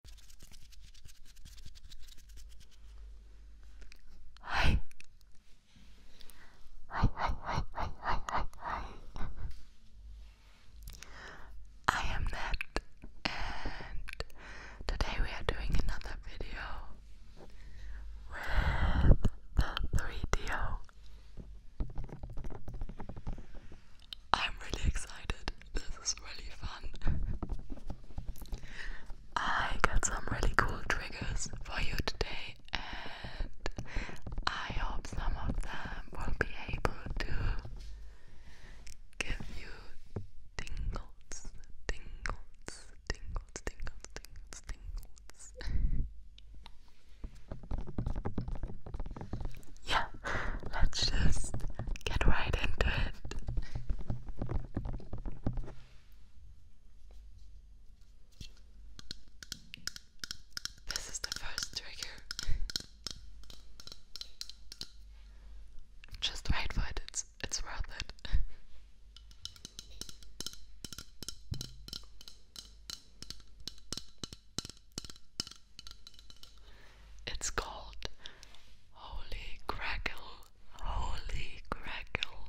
はいはいはいはいはいはいはいはい I am Nat and today we are doing another video with the 3DO I'm really excited. This is really fun. I got some really cool triggers for you today, and I hope some of them will be able to give you tingles, tingles, tingles, tingles, tingles, tingles. yeah, let's just get right into it. This is the first trigger. Just wait for it, it's, it's worth it. It's called Holy Crackle. Holy Crackle.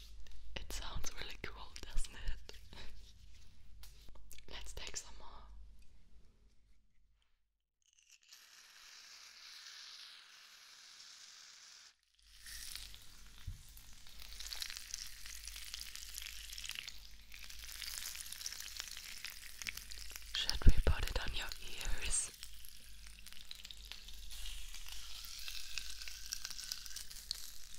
It sounds really cool, doesn't it? Let's take some more. Should we put it on your ears?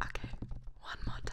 Okay, one more time.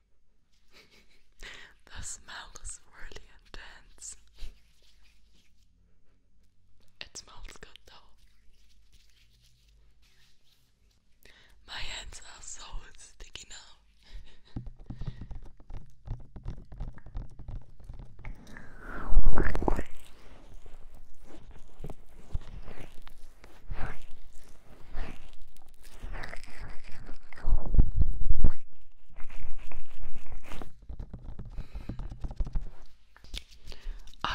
the smell is really intense. It smells good though. My hands are so sticky now.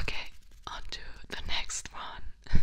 Okay, on to the next one.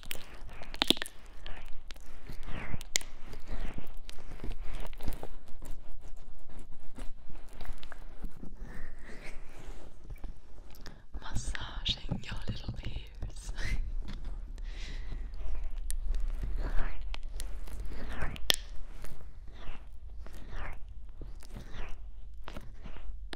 Massaging your little ears.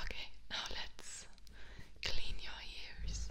Okay, now let's clean your ears.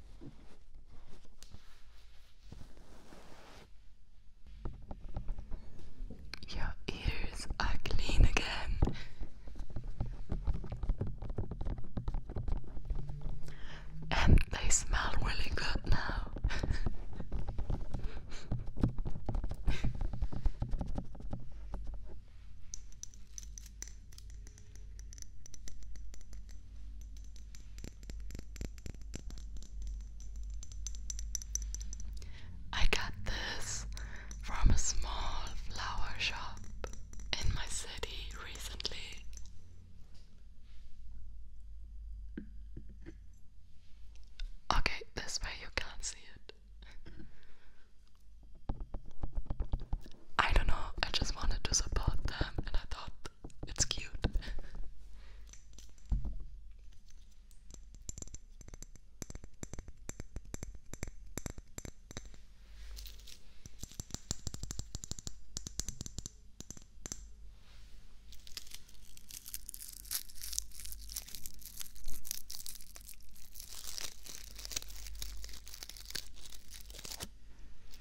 Your ears are clean again. And they smell really good now. I got this from a small flower shop in my city recently. Okay, this way you can't see it. I don't know, I just wanted to support them and I thought it's cute.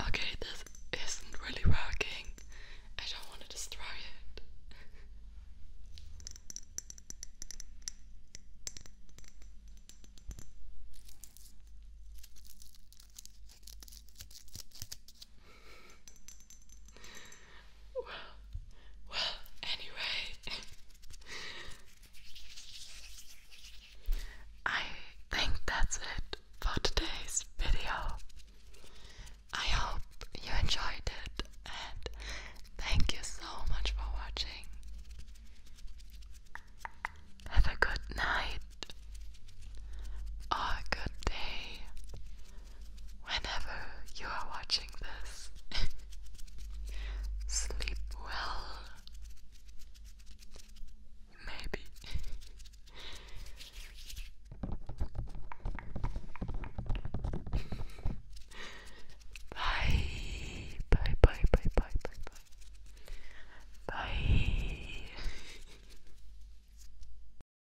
okay, this isn't really working. I don't want to destroy it. Well, well, anyway, I think that's it for today's video. I hope you enjoyed it and thank you so much for watching. Have a good night or a good day whenever you are watching this. Sleep well. Maybe. bye. Bye, bye, bye, bye, bye, bye. Bye.